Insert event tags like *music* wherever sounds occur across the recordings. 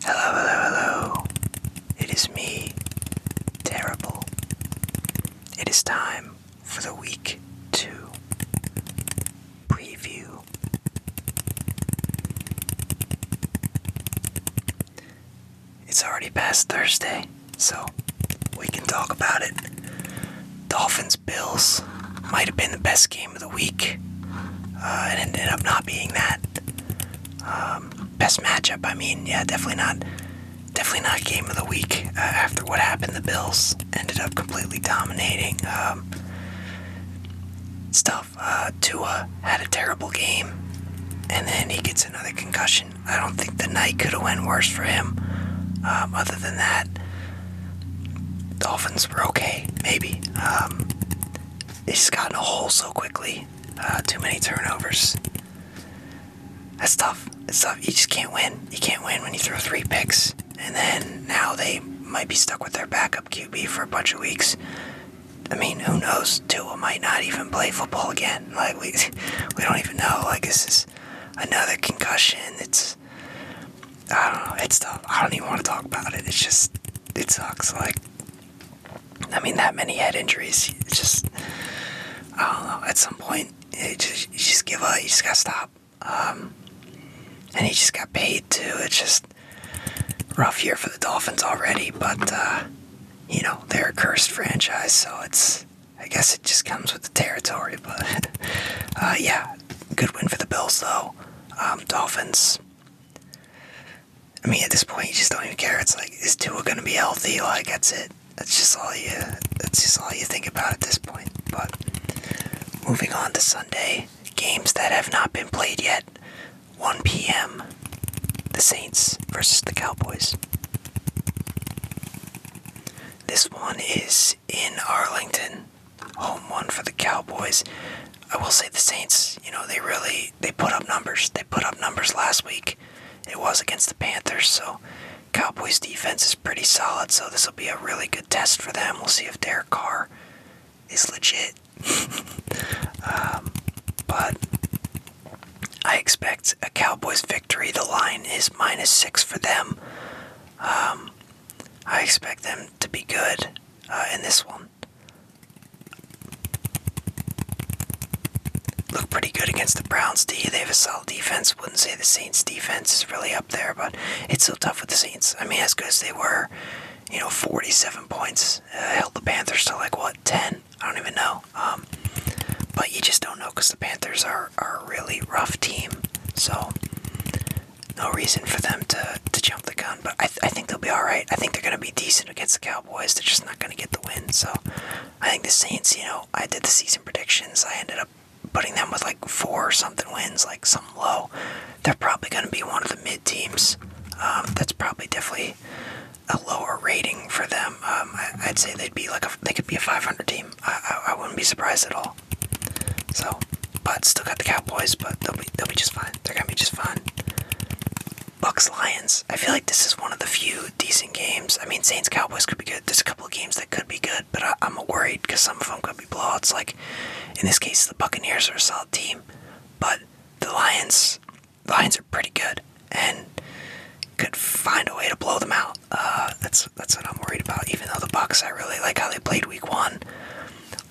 Hello, hello, hello. It is me, Terrible. It is time for the week two preview. It's already past Thursday. So we can talk about it. Dolphins Bills might have been the best game of the week. Uh, it ended up not being that. Um, best matchup. I mean, yeah, definitely not. Definitely not game of the week. Uh, after what happened, the Bills ended up completely dominating. Um, stuff. Uh, Tua had a terrible game, and then he gets another concussion. I don't think the night could have went worse for him. Um, other than that, Dolphins were okay, maybe. Um, they just got in a hole so quickly. Uh, too many turnovers. That's tough. It's tough. You just can't win. You can't win when you throw three picks. And then now they might be stuck with their backup QB for a bunch of weeks. I mean, who knows? Tua might not even play football again. Like we, *laughs* we don't even know. Like this is another concussion. It's I don't know. It's tough. I don't even want to talk about it. It's just it sucks. Like I mean, that many head injuries. just I don't know. At some point, it just, you just give up. You just gotta stop. Um, and he just got paid too. It's just rough year for the Dolphins already, but uh, you know they're a cursed franchise, so it's I guess it just comes with the territory, but *laughs* uh, yeah, good win for the Bills though. Um, Dolphins. I mean, at this point, you just don't even care. It's like, is Tua gonna be healthy? Like, that's it. That's just all you. That's just all you think about at this point. But moving on to Sunday games that have not been played yet. 1 p.m. The Saints versus the Cowboys. This one is in Arlington, home one for the Cowboys. I will say the Saints, you know, they really they put up numbers. They put up numbers last week. It was against the Panthers, so Cowboys defense is pretty solid, so this will be a really good test for them. We'll see if Derek Carr is legit. *laughs* Um, but I expect a Cowboys victory. The line is minus six for them. Um, I expect them to be good uh, in this one. Look pretty good against the Browns. do you? They have a solid defense. Wouldn't say the Saints' defense is really up there, but it's still tough with the Saints. I mean, as good as they were, you know, 47 points uh, held the Panthers to like what 10. I don't even know. Um, but you just don't know because the Panthers are, a really rough team. So no reason for them to, to jump the gun. But I, I think they'll be all right. I think they're going to be decent against the Cowboys. They're just not going to get the win. So I think the Saints, you know, I did the season predictions. I ended up putting them with like four or something wins, like some low. They're probably going to be one of the mid teams. Um, that's probably definitely a lower rating for them. Um, um, I'd say they'd be like they could be a 500 team. I, I, wouldn't be surprised at all. So, but still got the Cowboys, but they'll be they'll be just fine. They're gonna be just fine. Bucks Lions. I feel like this is one of the few decent games. I mean, Saints Cowboys could be good. There's a couple games that could be good, but I, am worried because some of them could be blowouts. Like in this case, the Buccaneers are a solid team, but the Lions, Lions are pretty good and could find a way to blow them out. Uh, that's that's what I'm worried about. Even though the Bucks, I really like how they played Week One.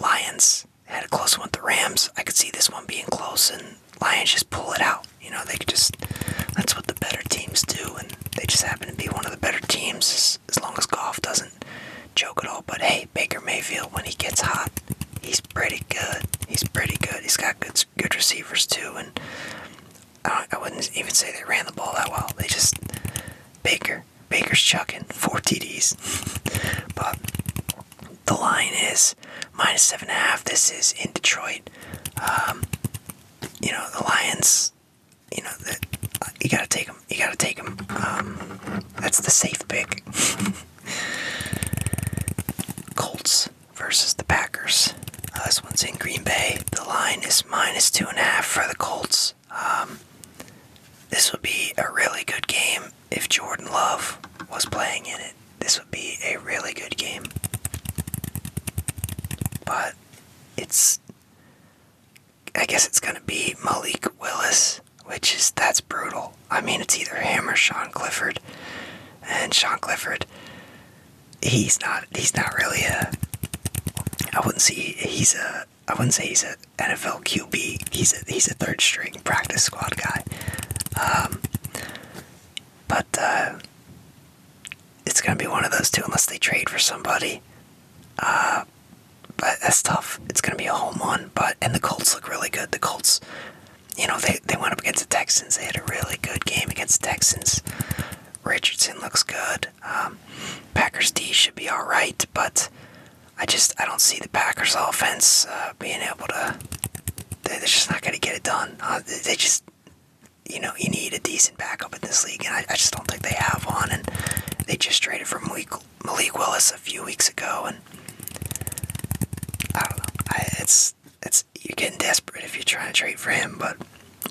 Lions had a close one with the Rams. I could see this one being close, and Lions just pull it out. You know, they could just. That's what the better teams do, and they just happen to be one of the better teams. As, long as golf doesn't choke at all. But hey, Baker Mayfield, when he gets hot, he's pretty good. He's pretty good. He's got good good receivers too, and I, wouldn't even say they ran the ball that well. They just Baker, Baker's chucking four TDs. *laughs* but the line is minus seven and a half. This is in Detroit. Um, you know the Lions. You know uh, you gotta take them. You gotta take them. Um, that's the safe pick. *laughs* Colts versus the Packers. Uh, this one's in Green Bay. The line is minus two and a half for the Colts. Um, this would be a really good game if Jordan Love was playing in it. This would be a really good game. But it's. I guess it's going to be Malik Willis, which is. That's brutal. I mean, it's either him or Sean Clifford. And Sean Clifford he's not he's not really a I wouldn't say he's a I wouldn't say he's an NFL QB. He's a he's a third string practice squad guy. Um, but uh, it's gonna be one of those two unless they trade for somebody. Uh, but that's tough. It's gonna be a home one. But and the Colts look really good. The Colts, you know, they they went up against the Texans. They had a really good game against the Texans. Richardson looks good. Um, Packers D should be all right, but I just I don't see the Packers offense uh, being able to. They're just not going to get it done. Uh, they just, you know, you need a decent backup in this league, and I, just don't think they have one. And they just traded for Malik, Willis a few weeks ago, and I don't know. it's it's you're getting desperate if you're trying to trade for him, but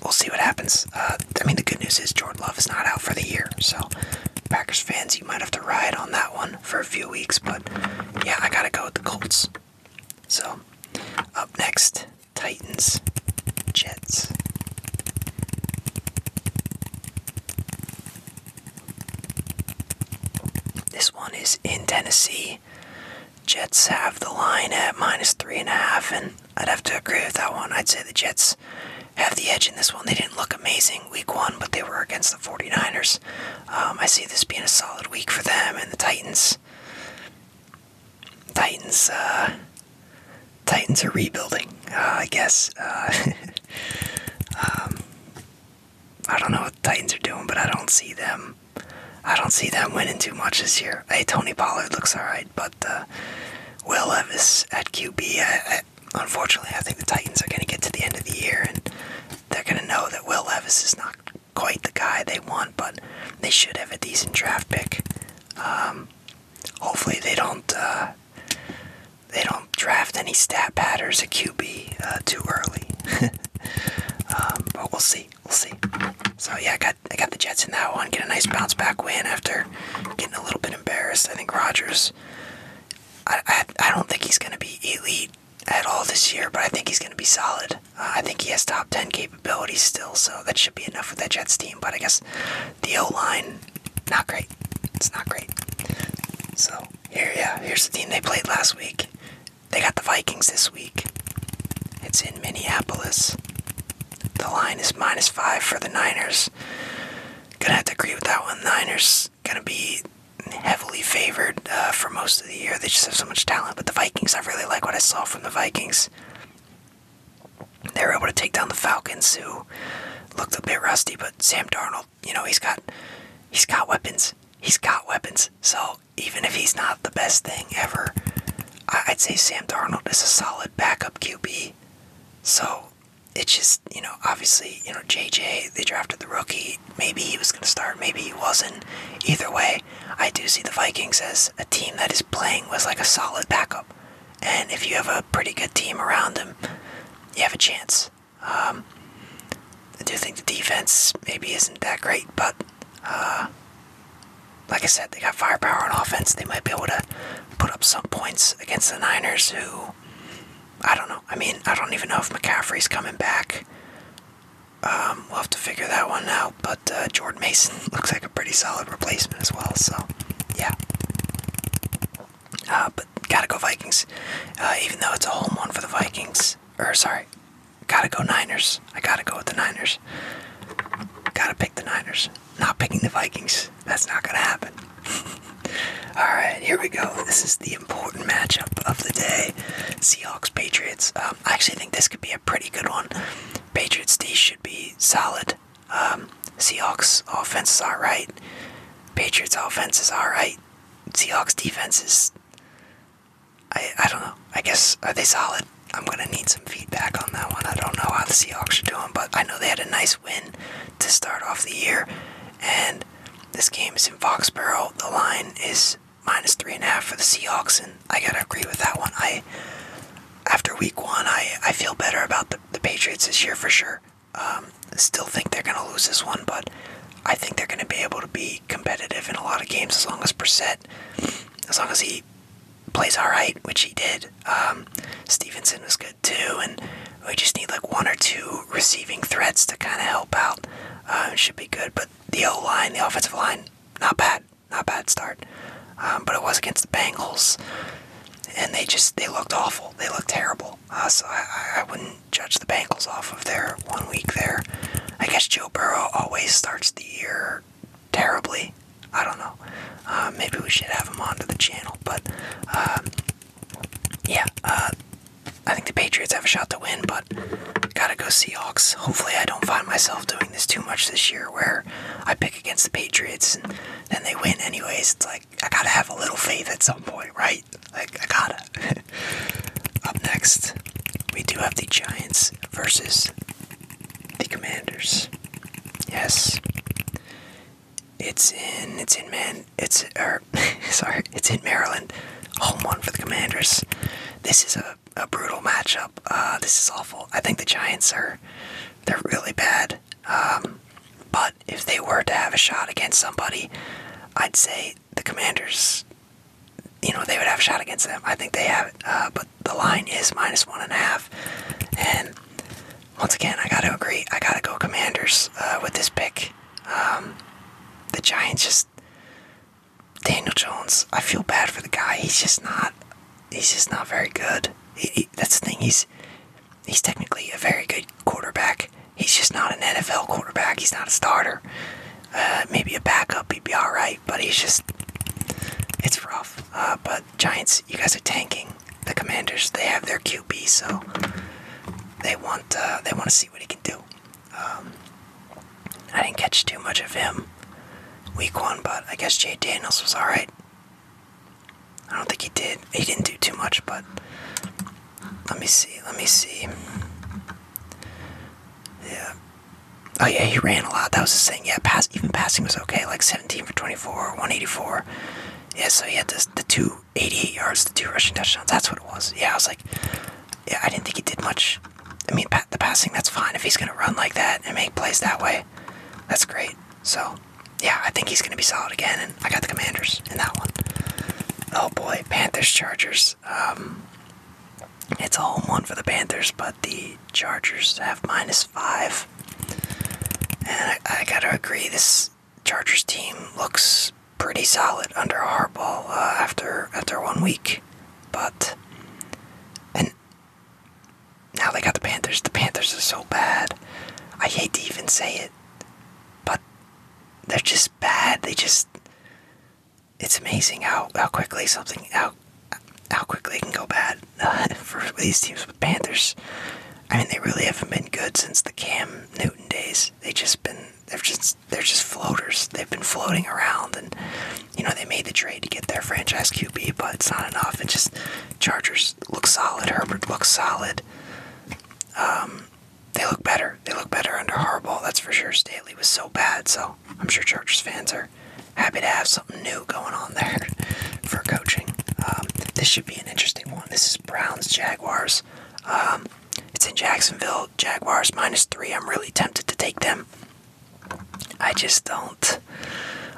we'll see what happens. Uh, I mean, the good news is Jordan Love is not out for the year, so Packers fans, you might have to ride on that one for a few weeks, but yeah, I gotta go with the Colts. So, up next, Titans, Jets. This one is in Tennessee. Jets have the line at minus three and a half, and I'd have to agree with that one. I'd say the Jets have the edge in this one. They didn't look amazing week one, but they were against the 49ers. Um, I see this being a solid week for them and the Titans. Titans, uh, Titans are rebuilding, uh, I guess. Uh, *laughs* um, I don't know what Titans are doing, but I don't see them I don't see them winning too much this year. Hey, Tony Pollard looks alright, but uh, Will Levis at QB. unfortunately, I think the Titans are going to get to the end of the year and they're going to know that Will Levis is not quite the guy they want, but they should have a decent draft pick. Um, hopefully, they don't. Uh, they don't draft any stat patters at QB uh, too early, *laughs* um, but we'll see. We'll see. So yeah, I got I got the Jets in that one. Get a nice bounce back win after getting a little bit embarrassed. I think Rogers. I I, don't think he's gonna be elite at all this year, but I think he's gonna be solid. Uh, I think he has top ten capabilities still, so that should be enough for that Jets team. But I guess the O line, not great. It's not great. So here, yeah, here's the team they played last week. They got the Vikings this week. It's in Minneapolis. The line is minus five for the Niners. Gonna have to agree with that one. Niners gonna be heavily favored uh, for most of the year. They just have so much talent. But the Vikings, I really like what I saw from the Vikings. They were able to take down the Falcons, who looked a bit rusty. But Sam Darnold, you know, he's got he's got weapons. He's got weapons. So even if he's not the best thing ever, I'd say Sam Darnold is a solid backup QB. So it's just, you know, obviously, you know, JJ, they drafted the rookie. Maybe he was going to start, maybe he wasn't. Either way, I do see the Vikings as a team that is playing with like a solid backup. And if you have a pretty good team around him, you have a chance. Um, I do think the defense maybe isn't that great, but uh, like I said, they got firepower on offense. They might be able to put up some points against the Niners, who I don't know. I mean, I don't even know if McCaffrey's coming back. Um, we'll have to figure that one out. But uh, Jordan Mason *laughs* looks like a pretty solid replacement as well. So, yeah. Uh, but gotta go Vikings, uh, even though it's a home one for the Vikings. Or sorry, Gotta go Niners. I gotta go with the Niners. Gotta pick the Niners. Not picking the Vikings. That's not gonna happen. *laughs* Alright, here we go. This is the important matchup of the day Seahawks Patriots. Um, I actually think this could be a pretty good one. Patriots defense should be solid. Um, Seahawks offense is alright. Patriots offense is alright. Seahawks defense is I I don't know. I guess are they solid? I'm gonna need some feedback on that one. I don't know how the Seahawks are doing, but I know they had a nice win to start off the year. And this game is in Foxborough. The line is minus three and a half for the Seahawks, and I gotta agree with that one. I after week one, I I feel better about the, the Patriots this year for sure. Um, still think they're gonna lose this one, but I think they're gonna be able to be competitive in a lot of games as long as Brissett as long as he plays all right, which he did. Um, Stevenson was good too, and we just need like one or two receiving threats to kind of help out. Uh, should be good, but the O line, the offensive line, not bad, not bad start. Um, but it was against the Bengals, and they just they looked awful. They looked terrible. Uh, so I, I wouldn't judge the Bengals off of their one week there. I guess Joe Burrow always starts the year terribly. I don't know. Uh, maybe we should have him on to the channel, but um, yeah, uh, I think the Patriots have a shot to win, but gotta go Seahawks. Hopefully, I don't find myself doing this too much this year, where I pick against the Patriots and then they win anyways. It's like I gotta have a little faith at some point, right? Like I gotta. *laughs* Up next, we do have the Giants versus the Commanders. Yes. It's in it's in man it's er *laughs* sorry, it's in Maryland. Home one for the Commanders. This is a, a brutal matchup. Uh this is awful. I think the Giants are they're really bad. Um but if they were to have a shot against somebody, I'd say the Commanders you know, they would have shot against them. I think they have uh, but the line is minus one and a half. And once again, I got to agree. I got to go Commanders uh, with this pick. Um, the Giants just Daniel Jones. I feel bad for the guy. He's just not. He's just not very good. that's the thing. He's he's technically a very good quarterback. He's just not an NFL quarterback. He's not a starter uh, *sighs* maybe a backup, he'd be all right. But he's just, it's rough. Uh, but Giants, you guys are tanking. The Commanders, they have their QB, so they want uh, they want to see what he can do. Um, I didn't catch too much of him week one, but I guess Jay Daniels was all right. I don't think he did. He didn't do too much, but let me see. Let me see. Yeah, Oh yeah, he ran a lot. That was the thing. Yeah, pass even passing was okay. Like 17 for 24, 184. Yeah, so he had the two 88 yards, the two rushing touchdowns. That's what it was. Yeah, I was like, yeah, I didn't think he did much. I mean, the passing, that's fine. If he's going to run like that and make plays that way, that's great. So, yeah, I think he's going to be solid again. And I got the Commanders in that one. Oh boy, Panthers, Chargers. Um, it's a home one for the Panthers, but the Chargers have minus five. And I, gotta agree, this Chargers team looks pretty solid under Harbaugh uh, after after one week. But and now they got the Panthers. The Panthers are so bad. I hate to even say it, but they're just bad. They just it's amazing how, how quickly something how how quickly can go bad *laughs* for these teams with Panthers. I mean, they really haven't been good since the Cam Newton days. They just been they've just they're just floaters. They've been floating around, and you know they made the trade to get their franchise QB, but it's not enough. And just Chargers look solid. Herbert looks solid. Um, they look better. They look better under Harbaugh, that's for sure. Staley was so bad, so I'm sure Chargers fans are happy to have something new going on there *laughs* for coaching. Um, this should be an interesting one. This is Browns Jaguars. Um, it's in Jacksonville. Jaguars minus three. I'm really tempted to take them. I just don't.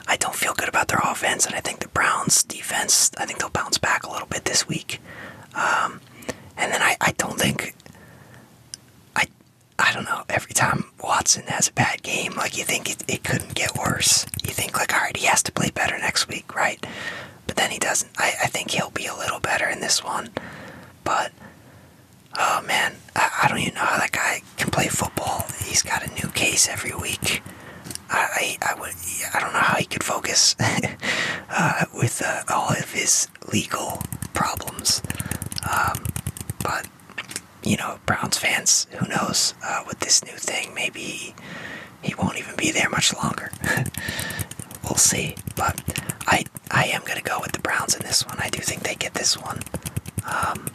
I don't feel good about their offense, and I think the Browns' defense. I think they'll bounce back a little bit this week. Um, and then I, I don't think. I I don't know, every time Watson has a bad game, like you think it, couldn't get worse. You think, like, all right, he has to play better next week, right? But then he doesn't. I, I think he'll be a little better in this one. But, oh man, I, I don't even know how that guy can play football. He's got a new case every week. I, I, would, I don't know how he could focus *laughs* uh, with uh, all of his legal problems. Um, but, you know, Browns fans, who knows, uh, with this new thing, maybe he won't even be there much longer. *laughs* we'll see. But I, I am going to go with the Browns in this one. I do think they get this one. Um,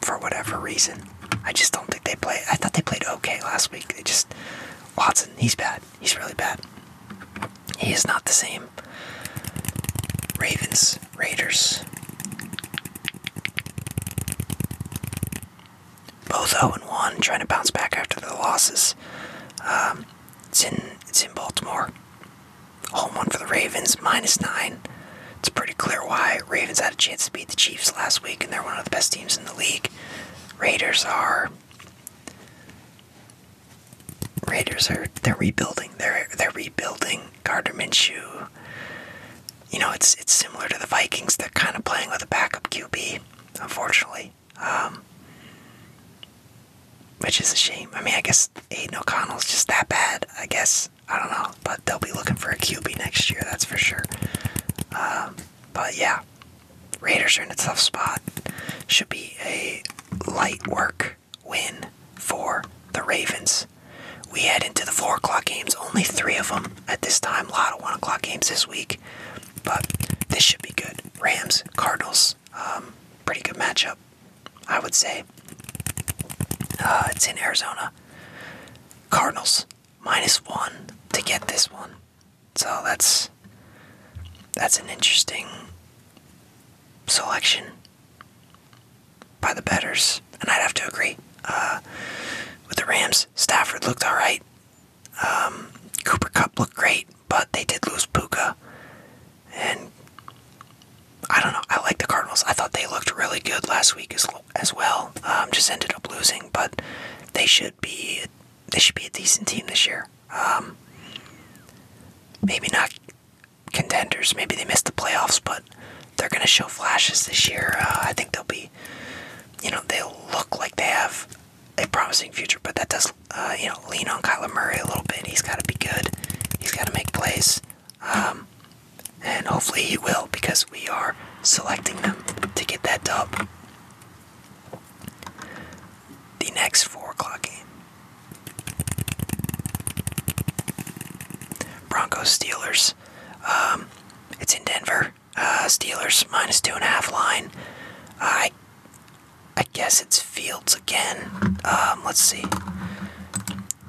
for whatever reason. I just don't think they play. I thought they played okay last week. They just Watson, he's bad. He's really bad. He is not the same. Ravens, Raiders. Both 0 and 1, trying to bounce back after the losses. Um, it's in it's in Baltimore. Home one for the Ravens, minus nine. It's pretty clear why Ravens had a chance to beat the Chiefs last week, and they're one of the best teams in the league. Raiders are Raiders are they're rebuilding. They're they're rebuilding Gardner Minshew. You know, it's it's similar to the Vikings. They're kind of playing with a backup QB, unfortunately, um, which is a shame. I mean, I guess Aiden O'Connell's just that bad. I guess I don't know, but they'll be looking for a QB next year. That's for sure. Um, but yeah, Raiders are in a tough spot. Should be a light work win for the Ravens. We head into the 4 o'clock games, only three of them at this time. A lot of 1 o'clock games this week, but this should be good. Rams, Cardinals, um, pretty good matchup, I would say. Uh, it's in Arizona. Cardinals, minus 1 to get this one. So that's that's an interesting selection by the betters, and I'd have to agree. Uh, with the Rams, Stafford looked all right. Um, Cooper Cup looked great, but they did lose Puka, and I don't know. I like the Cardinals. I thought they looked really good last week as well. Um, just ended up losing, but they should be they should be a decent team this year. Um, maybe not contenders. Maybe they missed the playoffs, but they're going to show flashes this year. Uh, I think they'll be, you know, they will look like they have a promising future, but that does, uh, you know, lean on Kyler Murray a little bit. He's got to be good. He's got to make plays. Um, and hopefully he will because we are selecting them to get that dub. The next four o'clock game. Broncos Steelers. Um, it's in Denver. Uh, Steelers minus two and a half line. I I guess it's Fields again. Um, let's see.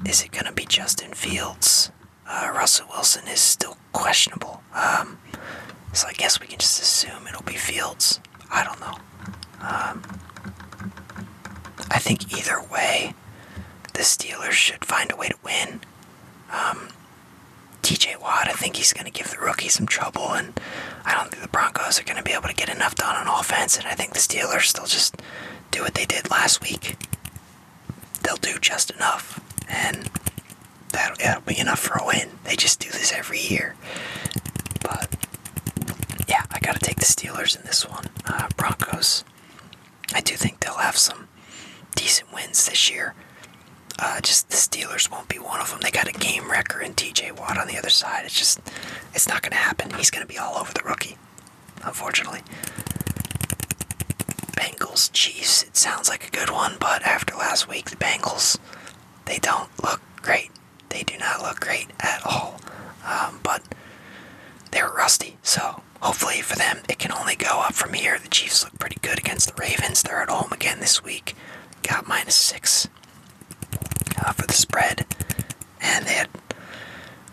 Is it gonna be Justin Fields? Uh, Russell Wilson is still questionable. Um, so I guess we can just assume it'll be Fields. I don't know. Um, I think either way, the Steelers should find a way to win. Um, TJ Watt, I think he's going to give the rookie some trouble, and I don't think the Broncos are going to be able to get enough done on offense, and I think the Steelers, they'll just do what they did last week. They'll do just enough, and that'll, that'll be enough for a win. They just do this every year. But yeah, I gotta take the Steelers in this one. Uh, Broncos. I do think they'll have some decent wins this year. Uh, just the Steelers won't be one of them. They got a game wrecker and T.J. Watt on the other side. It's just, it's not gonna happen. He's gonna be all over the rookie, unfortunately. Bengals Chiefs. It sounds like a good one, but after last week, the Bengals, they don't look great they do not look great at all. Um, but they're rusty, so hopefully for them it can only go up from here. The Chiefs look pretty good against the Ravens. They're at home again this week. Got minus six uh, for the spread, and they had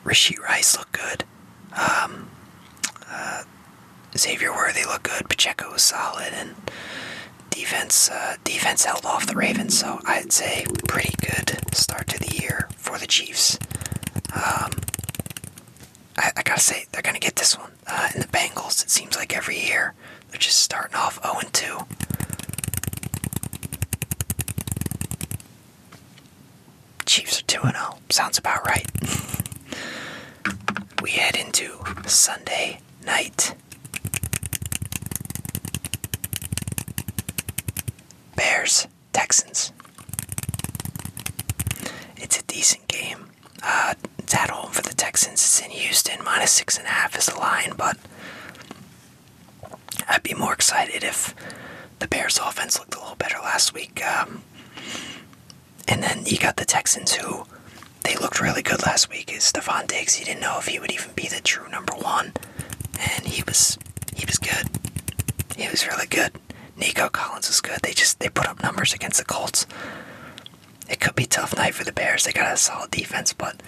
Rishi Rice look good. Um, uh, Xavier Worthy look good. Pacheco was solid, and Defense, uh, defense held off the Ravens, so I'd say pretty good start to the year for the Chiefs. Um, I, gotta say they're gonna get this one. Uh, in the Bengals, it seems like every year they're just starting off 0-2. Chiefs are 2-0. Sounds about right. *laughs* we head into Sunday night. Bears, Texans. It's a decent game. Uh, it's at home for the Texans. It's in Houston. Minus six and a half is the line, but I'd be more excited if the Bears' offense looked a little better last week. Um, and then you got the Texans, who they looked really good last week is Stephon Diggs. He didn't know if he would even be the true number one, and he was he was good. He was really good. Nico Collins was good. They just they put up numbers against the Colts. It could be tough night for the Bears. They got a solid defense, but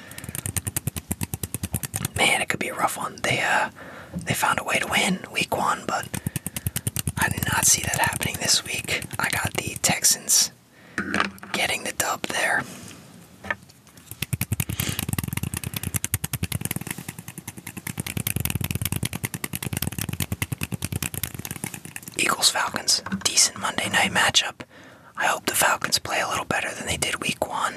man, it could be a rough one. They uh they found a way to win week one, but I did not see that happening this week. I got the Texans getting the dub there. Eagles Falcons, decent Monday night matchup. I hope the Falcons play a little better than they did week one.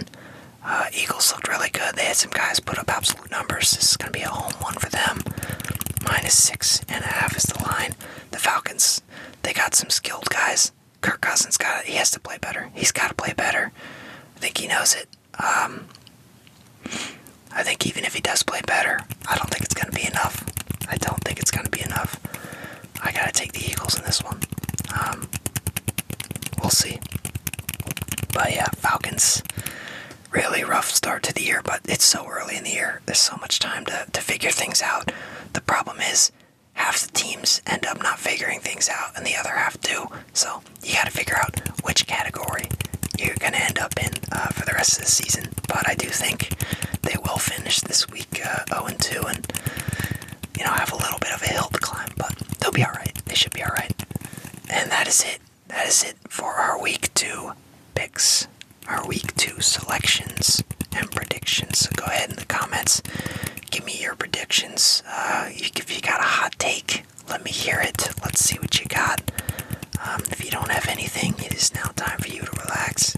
Uh, Eagles looked really good. They had some guys put up absolute numbers. This is going to be a home one for them. Minus six and a half is the line. The Falcons, they got some skilled guys. Kirk Cousins got he has to play better. He's got to play better. I think he knows it. Um, I think even if he does play better, I don't think it's going to be enough. I don't think it's going to be enough. I got to take the Eagles in this one. Um, we'll see. But yeah, Falcons. Really rough start to the year, but it's so early in the year. There's so much time to, to figure things out. The problem is half the teams end up not figuring things out and the other half do. So you got to figure out which category you're going to end up in uh, for the rest of the season. But I do think they will finish this week 0 uh, and 2 and, you know, have a little bit of a hill to climb. But they'll be all right. They should be all right. And that is it. That is it for our week two picks. Our week two to selections and predictions. So go ahead in the comments, give me your predictions. Uh, if you got a hot take, let me hear it. Let's see what you got. Um, if you don't have anything, it is now time for you to relax.